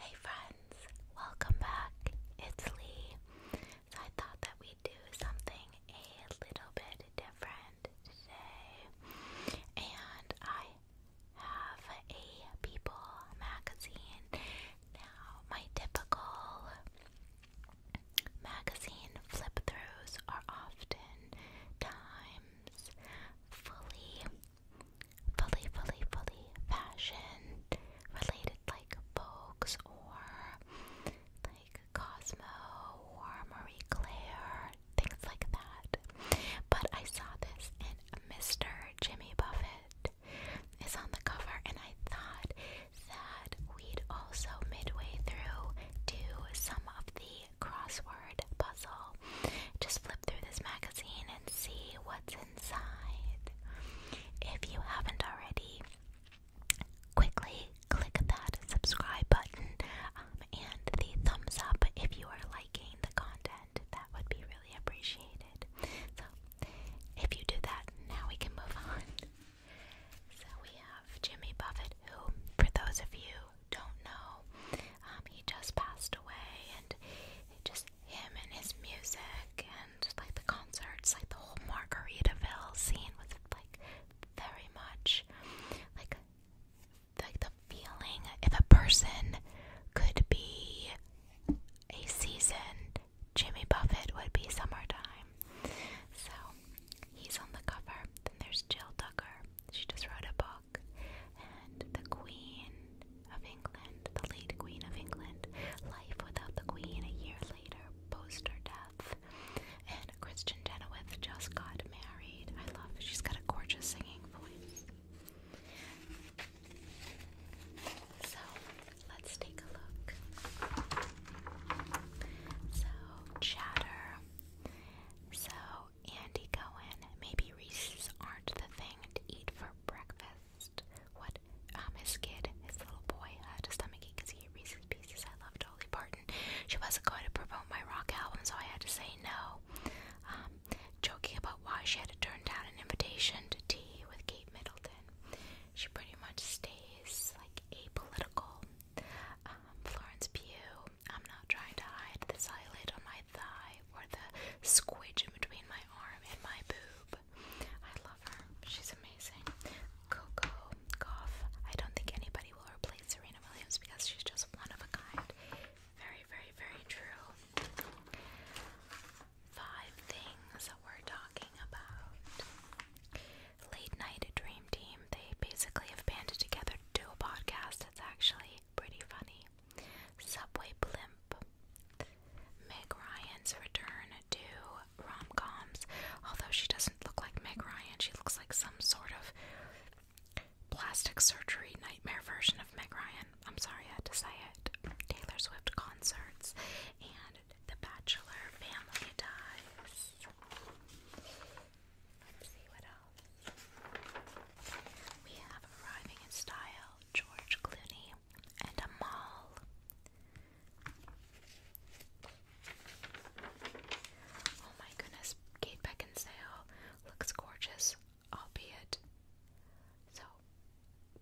Hey friends, welcome back. It's Lee. So I thought that we'd do something a little bit different today. And I have a People magazine. Now, my typical magazine flip throughs are often times fully fully, fully, fully fashion related, like Vogue's or like Cosmo or Marie Claire, things like that. But I saw this in Mr. Jimmy Buffett is on the cover, and I thought that we'd also midway through do some of the crossword puzzle. Just flip through this magazine and see what's if you haven't already, quickly click that subscribe button um, and the thumbs up if you are liking the content. That would be really appreciated. So, if you do that, now we can move on. So, we have Jimmy Buffett, who, for those of you, don't know. Um, he just passed away, and just him and his music and like the concerts, like the whole Margaritaville scene was like very much like like the feeling if a person could be a season, Jimmy Buffett would be summertime. So he's on the cover. Then there's Jill Tucker. She just wrote a book and the Queen of England, the late Queen of England, Life Without the Queen a year later, post her death. And Christian Chenoweth just got married. I love it. She's got a gorgeous singing voice. So let's take a look. So, Chatter. So, Andy Cohen, maybe Baby Reese's aren't the thing to eat for breakfast. What? Um, his kid, his little boy, had a stomachache because he ate Reese's Pieces. I love Dolly Barton. She wasn't going to promote my rock album, so I had to say no. Um, joking about why she had to turn down an invitation to tea with Kate Middleton. She pretty much stays like apolitical. Um, Florence Pugh. I'm not trying to hide this eyelid on my thigh or the squidge between my arm and my boob. I love her. She's amazing. Coco Goff. I don't think anybody will replace Serena Williams because she's just one of a kind. Very, very, very true. Five things that we're talking about. Late Night Dream Team. They basically have banded together to do a podcast. It's actually pretty funny. Subway Blimp. Meg Ryan's return to rom coms, although she doesn't look like Meg Ryan, she looks like some sort of plastic surgery nightmare version of Meg Ryan. I'm sorry I had to say it. Taylor Swift concerts and The Bachelor Family Ties. Let's see what else. We have Arriving in Style, George Clooney, and Amal. Oh my goodness, Kate Beckinsale looks gorgeous, albeit so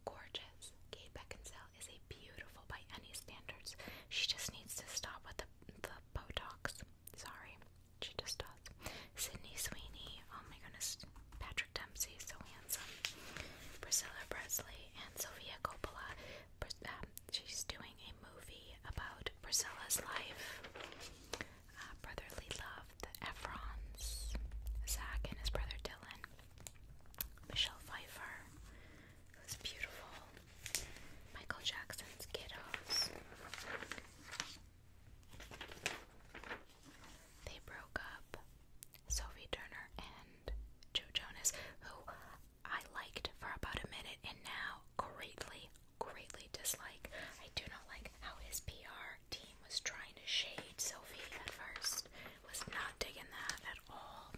gorgeous. Kate Beckinsale is a beautiful by any standards. She just needs to stop with the, the Botox. Sorry, she just does. Sydney Sweeney, oh my goodness, Patrick. Dempsey, so handsome. Priscilla Presley and Sophia Coppola. Um, she's doing a movie about Priscilla's life. Uh, brotherly love, the Efrons, Zach and his brother Dylan, Michelle Pfeiffer, who's beautiful, Michael Jackson's kiddos. They broke up. Sophie Turner and Joe Jonas, who I liked for about a minute and now greatly, greatly dislike. I do not like how his PR team was trying to shade Sophie at first. Was not digging that at all.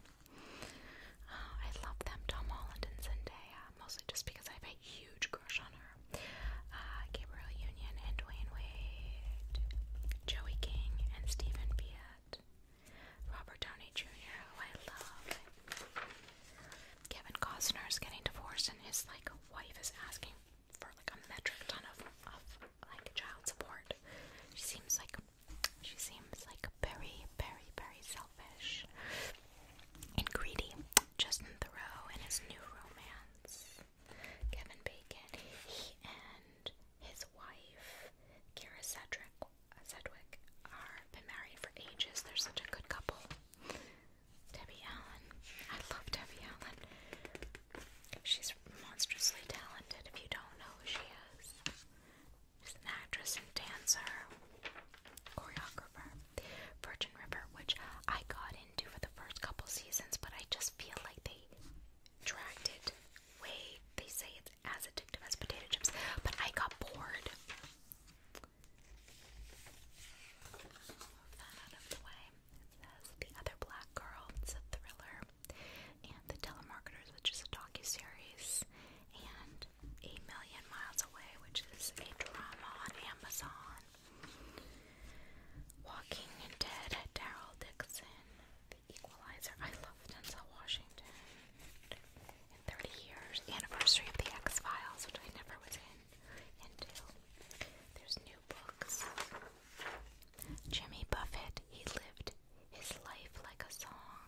Uh, I love them, Tom Holland and Zendaya, mostly just because I have a huge crush on her. Uh, Gabriel Union and Dwayne Wade, Joey King and Stephen Piat, Robert Downey Jr., who I love. Kevin Costner's getting divorced, and his like wife is asking for like a metric ton of, like child support. She seems like she seems like very, very, very selfish and greedy. Justin Thoreau and his new romance. Kevin Bacon. He and his wife, Kira Sedwick are been married for ages. They're such a good couple. Debbie Allen. I love Debbie Allen. She's monstrously talented if you don't know who she is. She's an actress and dancer, choreographer. Virgin River, which I got into for the first couple seasons, but I just feel like they dragged it way. They say it's as addictive as potato chips, but I got bored. out of the way. says The Other Black Girl. It's a thriller. And The Telemarketers, which is a docu-series. And A Million Miles Away, which is a drama on Amazon. Walking Dead, Daryl Dixon, The Equalizer. I love Denzel Washington. 30 years, anniversary of The X Files, which I never was in into. There's new books. Jimmy Buffett, he lived his life like a song.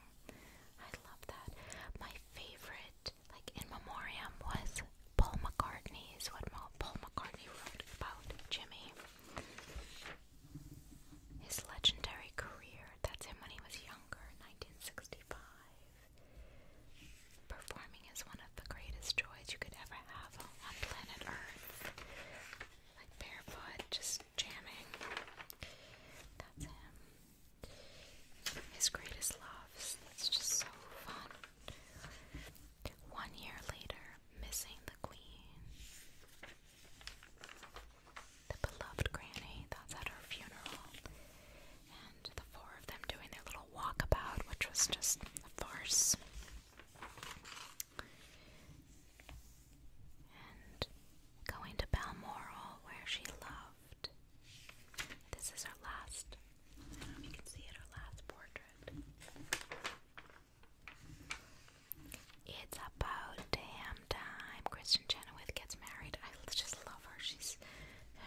I love that. My favorite, like in memoriam, was Paul McCartney is what Paul McCartney wrote about Jimmy. His legendary career, that's him when he was younger, 1965. Performing is one of the greatest joys you could ever have on planet Earth. Like barefoot, just jamming. That's him. His greatest loves, It's just so fun. One year later, missing the queen. The beloved granny, that's at her funeral. And the four of them doing their little walkabout, which was just a farce. And going to Balmoral, where she loved. This is her last um, you can see it, her last portrait. It's about damn time Kristen Chenoweth gets married. I just love her. She's,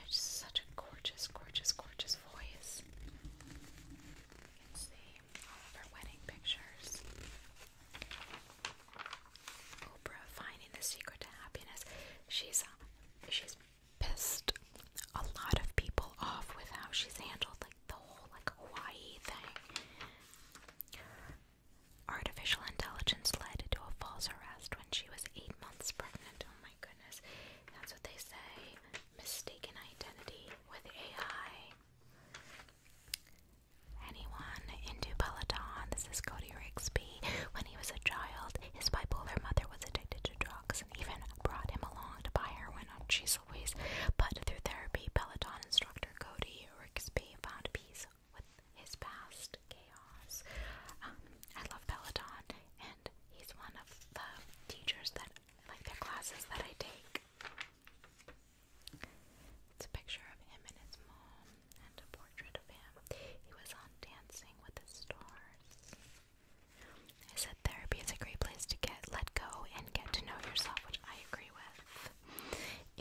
such a gorgeous, gorgeous, gorgeous voice. You can see all of her wedding pictures. Oprah finding the secret to happiness. She's she's pissed a lot of people off with how she's handled like the whole like Hawaii thing. Artificial intelligence led to a false arrest when she was eight months pregnant. Oh my goodness. That's what they say. Mistaken identity with AI. Anyone into Peloton? This is Cody Rigsby. When he was a child, his bipolar mother was addicted to drugs even brought him along to buy heroin on Chisel Ways, but through therapy, Peloton instructor Cody Rixby found peace with his past chaos. Um, I love Peloton, and he's one of the teachers that, like, their classes that I take. It's a picture of him and his mom, and a portrait of him. He was on Dancing with the Stars. I said therapy is a great place to get let go and get to know yourself, which I agree with.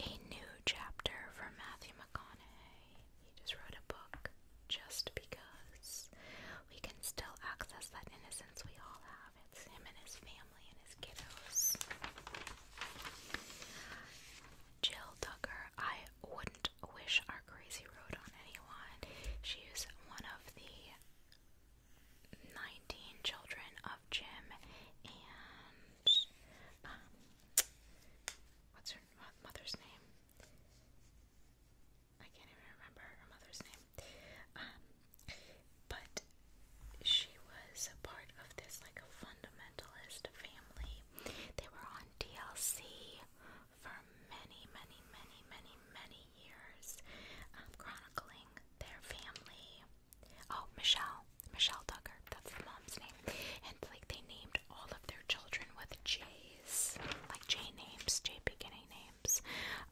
A new chapter from Matthew McConaughey. He just wrote a book just because we can still access that innocence we all have. It's him and his family and his kiddos. Jill Tucker, I wouldn't wish our crazy road on anyone. She's one of the 19 children of Jim and um, what's her uh, mother's name? I can't even remember her mother's name. Um, but she was a part of this like a fundamentalist family. They were on DLC for many, many, many, many, many years, um, chronicling their family. Oh, Michelle, Michelle duggar that's the mom's name, and like they named all of their children with J's, like J names, J beginning names,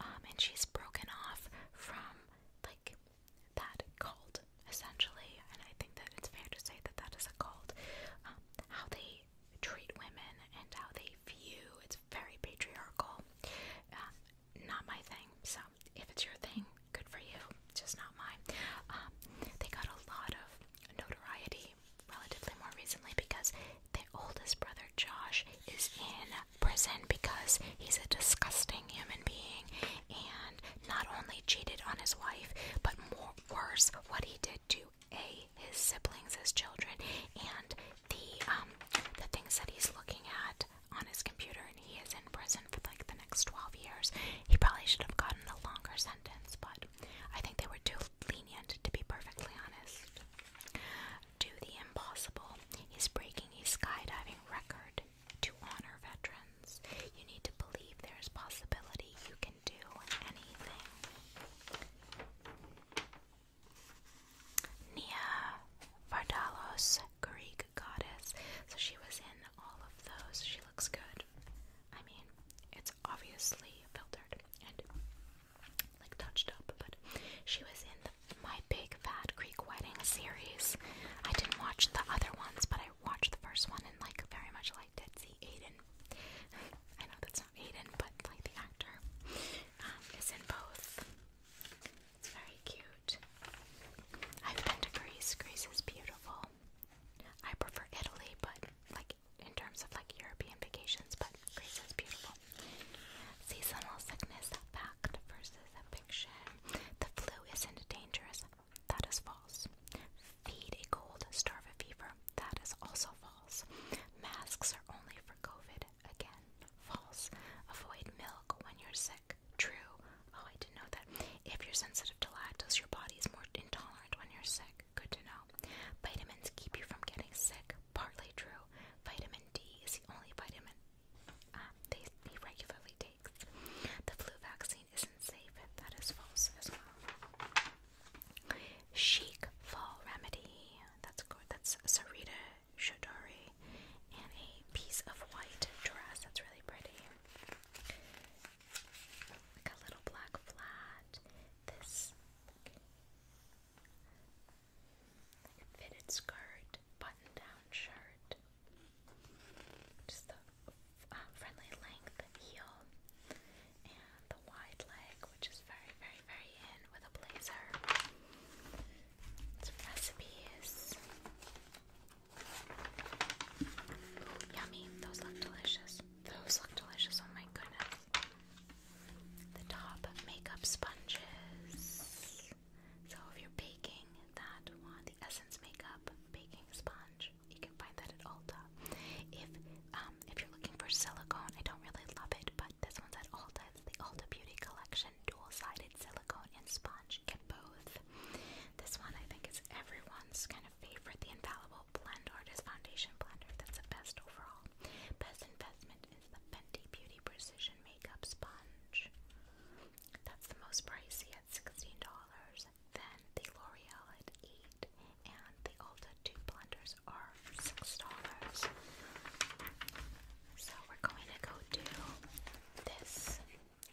um, and she's broken off from like that cult essentially, and I think that it's fair to say that that is a cult. Um, how they treat women and how they few. It's very patriarchal. Um, not my thing. So if it's your thing, good for you. Just not mine. Um, they got a lot of notoriety relatively more recently because their oldest brother Josh is in prison because he's a disgusting human being and not only cheated on his wife, but worse, what he did to a his siblings his children and the um the things that he's looking at on his computer and he is in prison for like the next 12 years. He probably should have gotten a longer sentence, but I think they were too lenient to be perfectly honest. Do the impossible. He's breaking a skydiving record to honor veterans. You need to believe there's possibility you can do anything. Nia Vardalos, Greek goddess. So she was in all of those. She looks good. I mean, it's obviously filtered and like touched up, but she was in the My Big Fat Greek Wedding series. I didn't watch the other ones, but I watched the first one and like very much liked it. See, Aiden. I know that's Aiden, but like the actor, um, is in both. It's very cute. I've been to Greece. Greece is beautiful. I prefer Italy, but like in terms of like European vacations, but Greece is beautiful. Seasonal sickness, fact versus fiction. The flu isn't dangerous. That is false. Feed a cold, starve a fever. That is also false. Masks are only for COVID again. False. Avoid milk when you're sick. True. Oh, I didn't know that. If you're sensitive to lactose, your body is more intolerant when you're sick. Good to know. Vitamins keep you from getting sick. Partly true. Vitamin D is the only vitamin uh, they, he regularly takes. The flu vaccine isn't safe. That is false as well. Chic fall remedy that's That's Sarita Shadori and a piece of white dress. That's really pretty. Like a little black flat. This fitted skirt, button down shirt. Just the uh, friendly length heel and the wide leg which is very, very, very in with a blazer. Some recipes. Ooh, yummy. Those look delicious. Those look delicious. Oh my goodness. The top makeup sponges. So if you're baking that one, the Essence Makeup Baking Sponge, you can find that at Ulta. If um, if you're looking for silicone, I don't really love it, but this one's at Ulta. the Ulta Beauty Collection dual-sided silicone and sponge. Get both. This one I think is everyone's kind of favorite, the Infallible Blend Artist Foundation Blender. That's the best overall. Best investment is the Fenty Beauty Precision Makeup Sponge. That's the most pricey at $16. Then the L'Oreal at 8 and the Ulta two blenders are six dollars. So we're going to go do this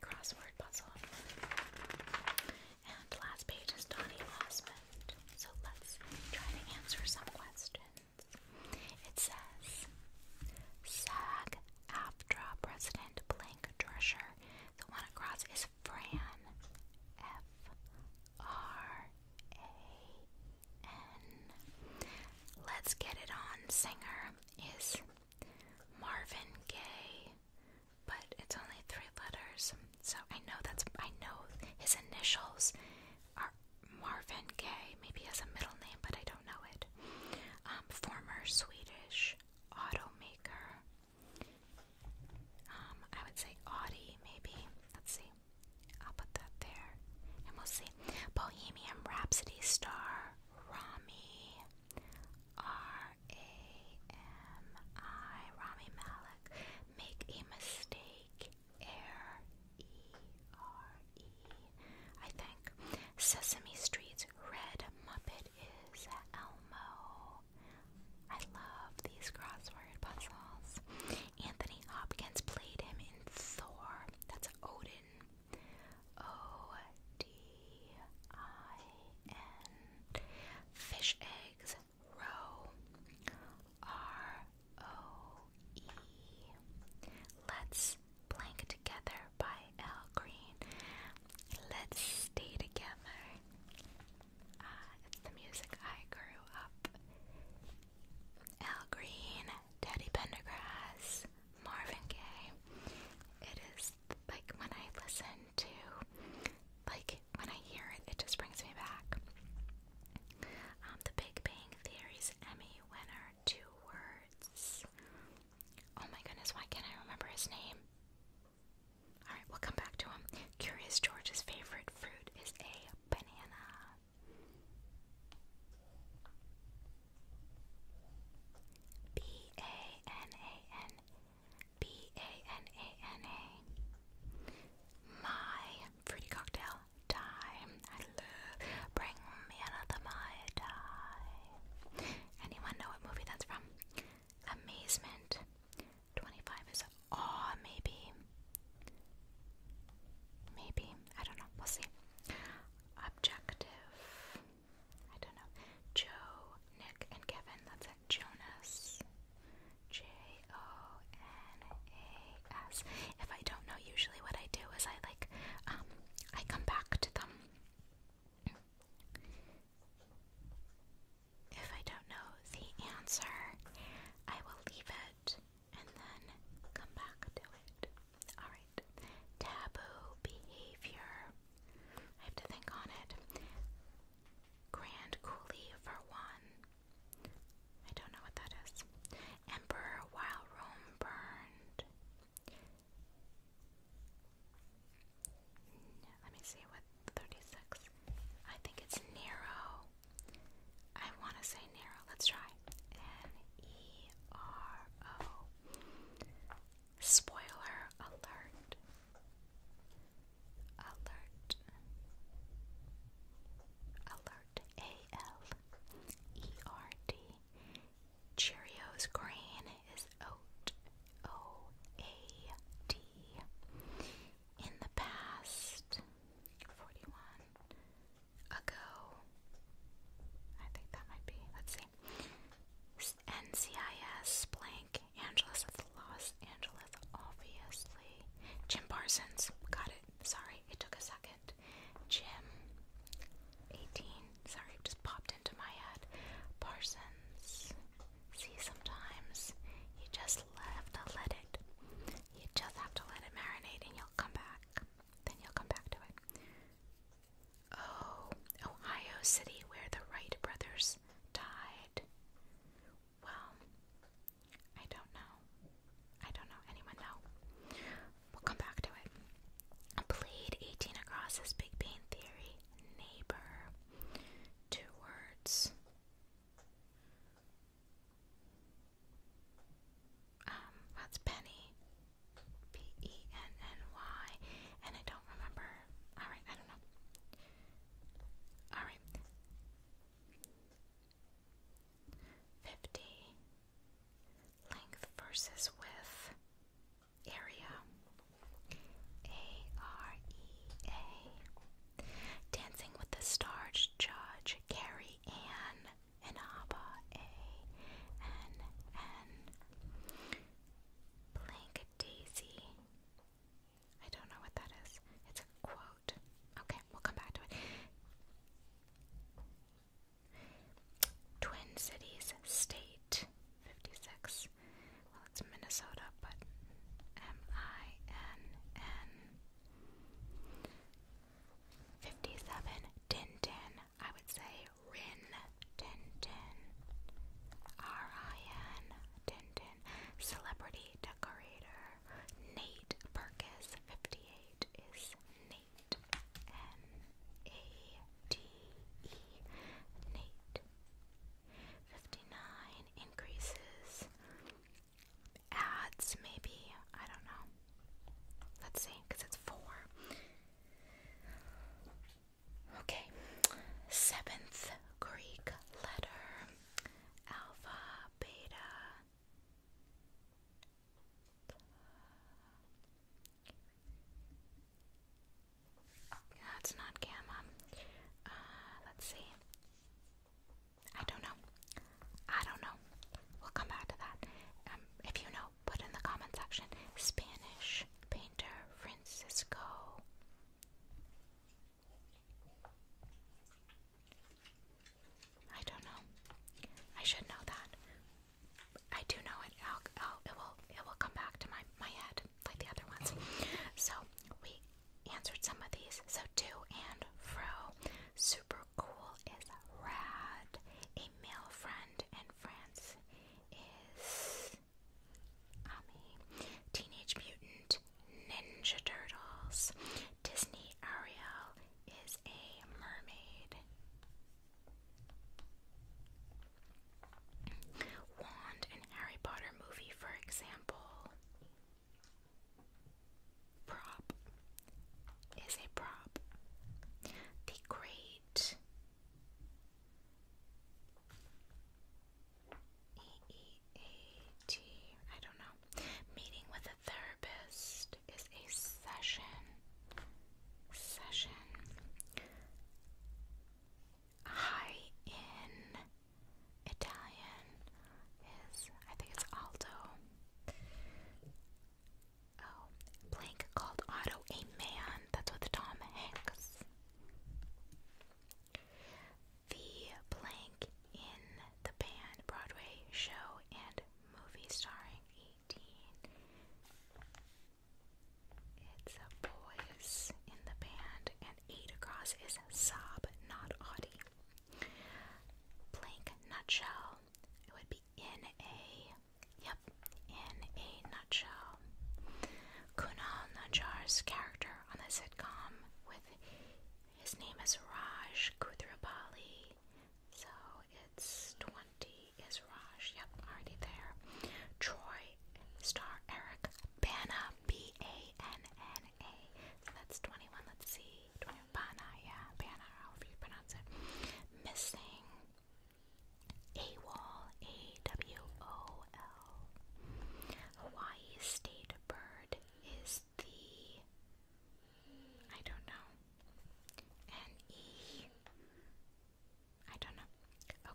crossword puzzle. And last page is Donnie Osmond. So let's try to answer some questions. It says SAG AFTRA President Blank Drescher. The one across is Fran F R A Let's Get It On singer is Marvin Gaye, but it's only three letters, so I know that's I know his initials are Marvin Gaye. Maybe he has a middle name, but I don't know it. Um, former Swedish automaker. Um, I would say Audi, maybe. Let's see. I'll put that there. And we'll see. Bohemian Rhapsody star Rami R A M I Rami Malek. Make a mistake. Air E R E. I think. Sesame Street's Red Muppet is Elmo. I love these crossword puzzles. Anthony Hopkins played him in Thor. That's Odin. O D I N. Fish eggs. Row. R O E. Let's blank together by Al Green. Let's stay together. Uh, it's the music I grew up El Green, Teddy Pendergrass, Marvin Gaye. It is like when I listen to, like when I hear it, it just brings me back. Um, the Big Bang Theory's Emmy winner, two words. Oh my goodness, why can't I remember his name? Alright, we'll come back to him. Curious George's favorite fruit is a banana. B A N A N B A N A N A. My fruity cocktail time. I love. Bring me another my die. Anyone know what movie that's from? Amazement. Twenty-five is awe, maybe. Maybe. I don't know. We'll see. Objective. I don't know. Joe, Nick, and Kevin. That's Jonas. J O N A S. If I don't know, usually what I do is I like, um, I come back to them. If I don't know the answer, I will leave it and then come back to it. Alright, taboo behavior. I have to think on it. Grand Coulee for one. I don't know what that is. Emperor while Rome burned. Let me see what 36. I think it's Nero. I want to say narrow. Let's try. N E R O. Spoiler alert. Alert. Alert. A L E R D. Cheerios green is oat. In the past, 41, ago. I think that might be, let's see. NCIS blank, Angeles, it's Los Angeles, obviously. Jim Parsons, got it. Sorry, it took a second. Jim, 18, sorry, it just popped into my head. Parsons, see, sometimes you just have to let it you just have to let it marinate and you'll come back. Then you'll come back to it. Oh, Ohio City, where the Wright brothers died. Well, I don't know. I don't know. Anyone No, We'll come back to it. Played 18 across his Big Bang Theory neighbor. Two words. Um, that's Penny. P E N N Y. And I don't remember. Alright, I don't know. Alright. 50. Length versus width. Area. A R E A. Dancing with the Stars judge Carrie Ann Inaba A-N-N Blank Daisy. I don't know what that is. It's a quote. Okay, we'll come back to it. Twin Cities State 56. Well, it's Minnesota, but M I N N 57. Tintin. I would say Rin Tintin. R-I-N Tintin. Celebrity decorator. Nate Perkis. 58 is Nate. N-A-T-E. Nate. 59 increases ads, maybe. I don't know. Let's see, because it's four. Okay, seventh Greek letter alpha, beta. That's not gamma. Uh, let's see. I don't know. I don't know. We'll come back to that. Um, if you know, put in the comment section Spanish painter Francisco. I don't know. I should know that. I do know it. it will. It will come back to my my head like the other ones. So we answered some of these. So to and fro. Super cool is rad. A male friend in France is um, Ami. Teenage Mutant Ninja Turtles. Disney Ariel is a mermaid. Wand and Harry Potter movie, for example prop is a prop. The great EEAT, don't know, meeting with a therapist is a session. Session. High in Italian is, I think it's alto. Oh, Blank called Otto a man. That's with Tom Hanks. The blank in the band Broadway show and movie starring 18. It's a boys in the band, and eight across is sob, not Audie. Blank nutshell. It would be in a, yep, in a nutshell. Kunal Najjar's character on the sitcom with his name is Raj Kuthrapali. So it's 20 is Raj. Yep, already there. Troy star Eric Bana, B A N A. A. So that's 21. Let's see. 21. Bana, yeah. Bana, however you pronounce it. Missing. AWOL. A-W-O-L. Hawaii state bird is the... I don't know. N-E... I don't know.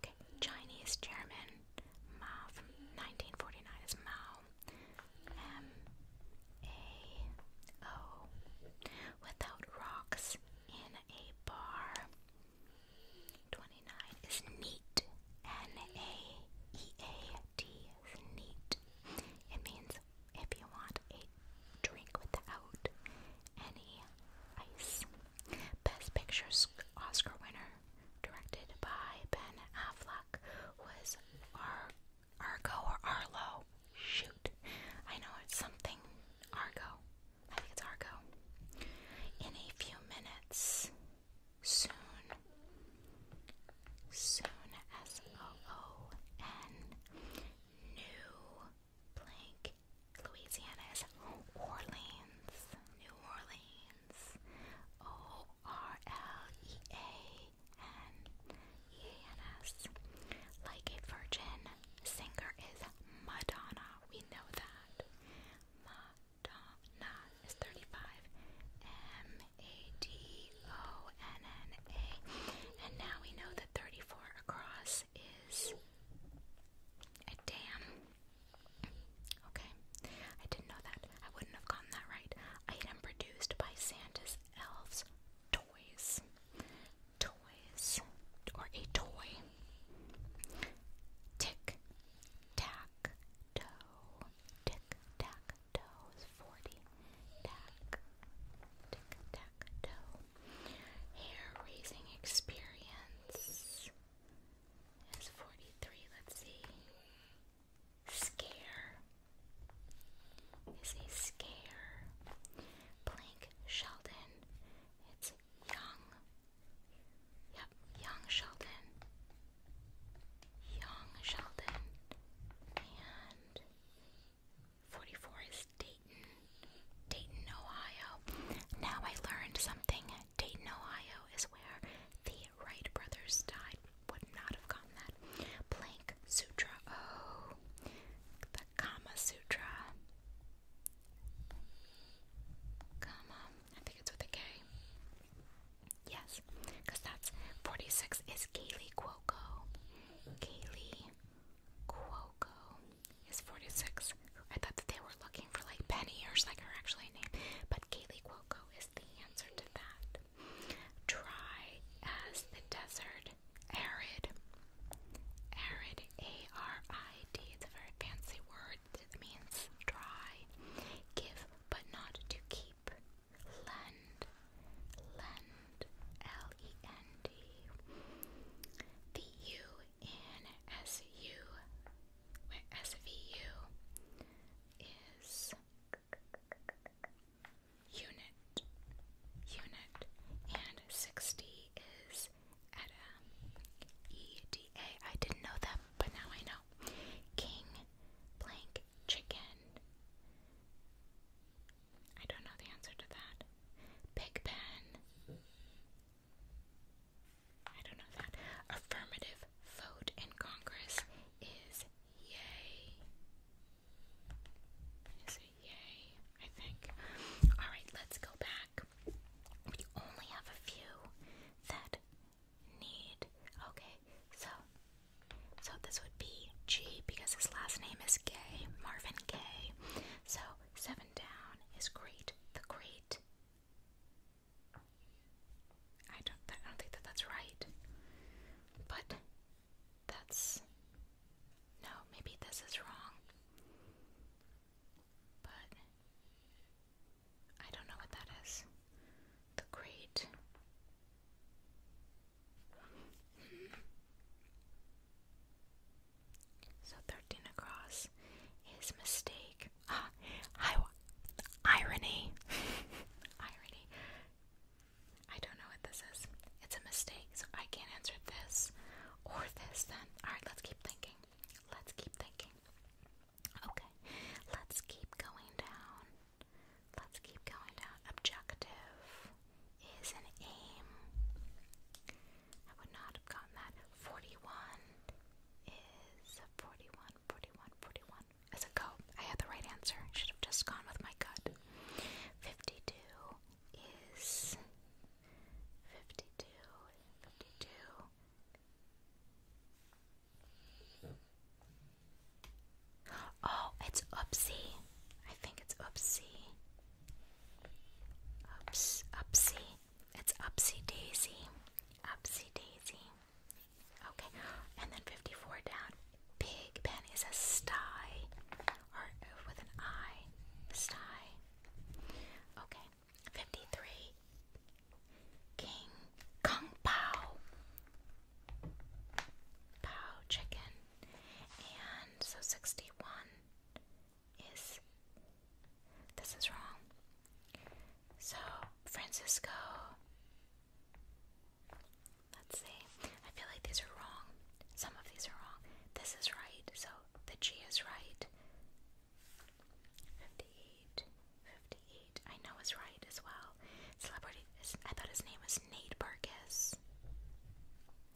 Okay. Chinese chairman Mao from 1949 is Mao. M A O without rocks in a bar. 29 is neat. N A E A T neat. It means if you want a drink without any ice. Best pictures Oscar winner, directed by Ben Affleck, was Ar Argo or Arlo. Shoot. I know it's something. Argo. I think it's Argo. In a few minutes. Soon. Soon. S O O N. New. Blank. Louisiana is Orleans. New Orleans. O oh, R L E A and R L E A N E A N S. Like a virgin, singer is Madonna. We know that. Madonna is 35. M A D O N N A. And now we know that 34 across is a dam. Okay, I didn't know that. I wouldn't have gotten that right. Item produced by Santa's elves. Toys. Toys. Or a toy. Tick, tack, toe. Tick, tack, toe 40. Tack, tick, tack, toe. Hair raising experience is 43. Let's see. Scare is a scare. Blank Sheldon. It's young. Yep, young Sheldon. Young Sheldon. And 44 is Dayton. Dayton, Ohio. Now I learned something. Dayton, Ohio is where the Right brothers died, would not have gotten that. Planck Sutra. Oh, the Kama Sutra. Kama. I think it's with a K. Yes, because that's 46 is Kaylee Cuoco. Kaylee Cuoco is 46. I thought that they were looking for like Penny or like her actual name, but Kaylee Cuoco is the answer to that. Dry as the desert. Arid. Arid. A R I D. It's a very fancy word. It means dry. Give but not to keep. Lend. Lend. L E N D. The U in S U. Wait, S V U is unit, unit, and 60 is um, E didn't know that, but now I know. King blank chicken. I don't know the answer to that. Big Ben. I don't know that. Affirmative vote in Congress is yay. Is it yay? I think. Alright, let's go back. We only have a few that need. Okay, so so this would be G because his last name is Gay, Marvin Gay. So seven down is great. The great I don't. I don't think that that's right. But that's no. Maybe this is wrong. But I don't know what that is. The great. So thirteen across is mistake. Ah, irony, irony. I don't know what this is. It's a mistake, so I can't answer this or this then. Alright, let's keep thinking. Let's keep thinking. Okay, let's keep going down. Let's keep going down. Objective is an aim. I would not have gotten that. 41 is 41, 41, 41 down as a go. I had the right answer. I should have just gone with my gut. 52 is 52, 52. Oh, it's oopsie. I think it's oopsie. Oops, oopsie. It's upsy daisy. Upsy daisy. Okay, and then 54 down. Pig pen is a sty, or uh, with an I, sty. Okay, 53. King Kung Pao. Pao chicken. And so 61 is. This is wrong. So Francisco Let's see. I feel like these are wrong. Some of these are wrong. This is right, so the G is right. 58. I know is right as well. Celebrity. I thought his name was Nate Barkis.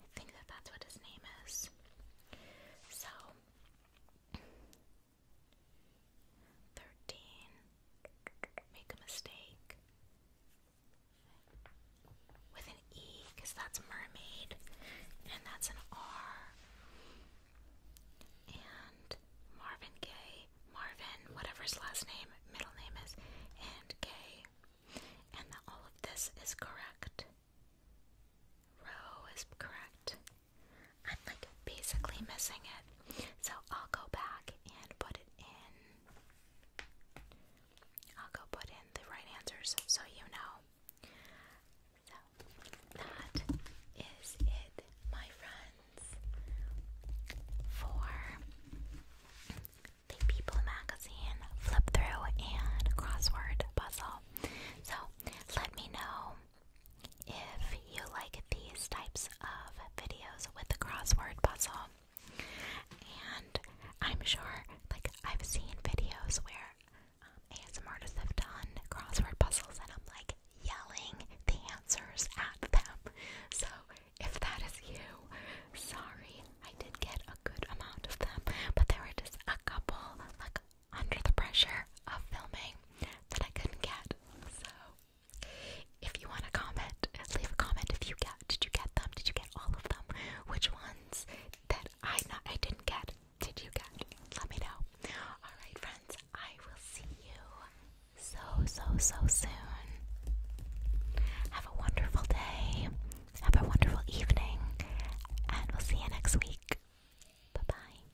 I think that that's what his name is. So. Thirteen. Make a mistake. With an E, because that's mermaid, and that's an R. And Marvin Gaye, Marvin, whatever his last name, middle name is, and Gaye. And all of this is correct. Row is correct. I'm like basically missing it. So I'll go back and put it in. I'll go put in the right answers so you know. So that is it, my friends, for the People Magazine flip through and crossword puzzle. So let me know if you like these types of videos with the crossword puzzle. And I'm sure, like, I've seen videos where um, artists have done crossword puzzles and I'm like yelling the answers at them. So if that is you, sorry, I did get a good amount of them, but there were just a couple, like, under the pressure of filming that I couldn't get. So if you want to comment, leave a comment if you get did you get them? Did you get all of them? Which ones that I not I didn't get did you get? Let me know. Alright friends, I will see you so so so soon. Have a wonderful day. Have a wonderful evening. And we'll see you next week. Bye bye.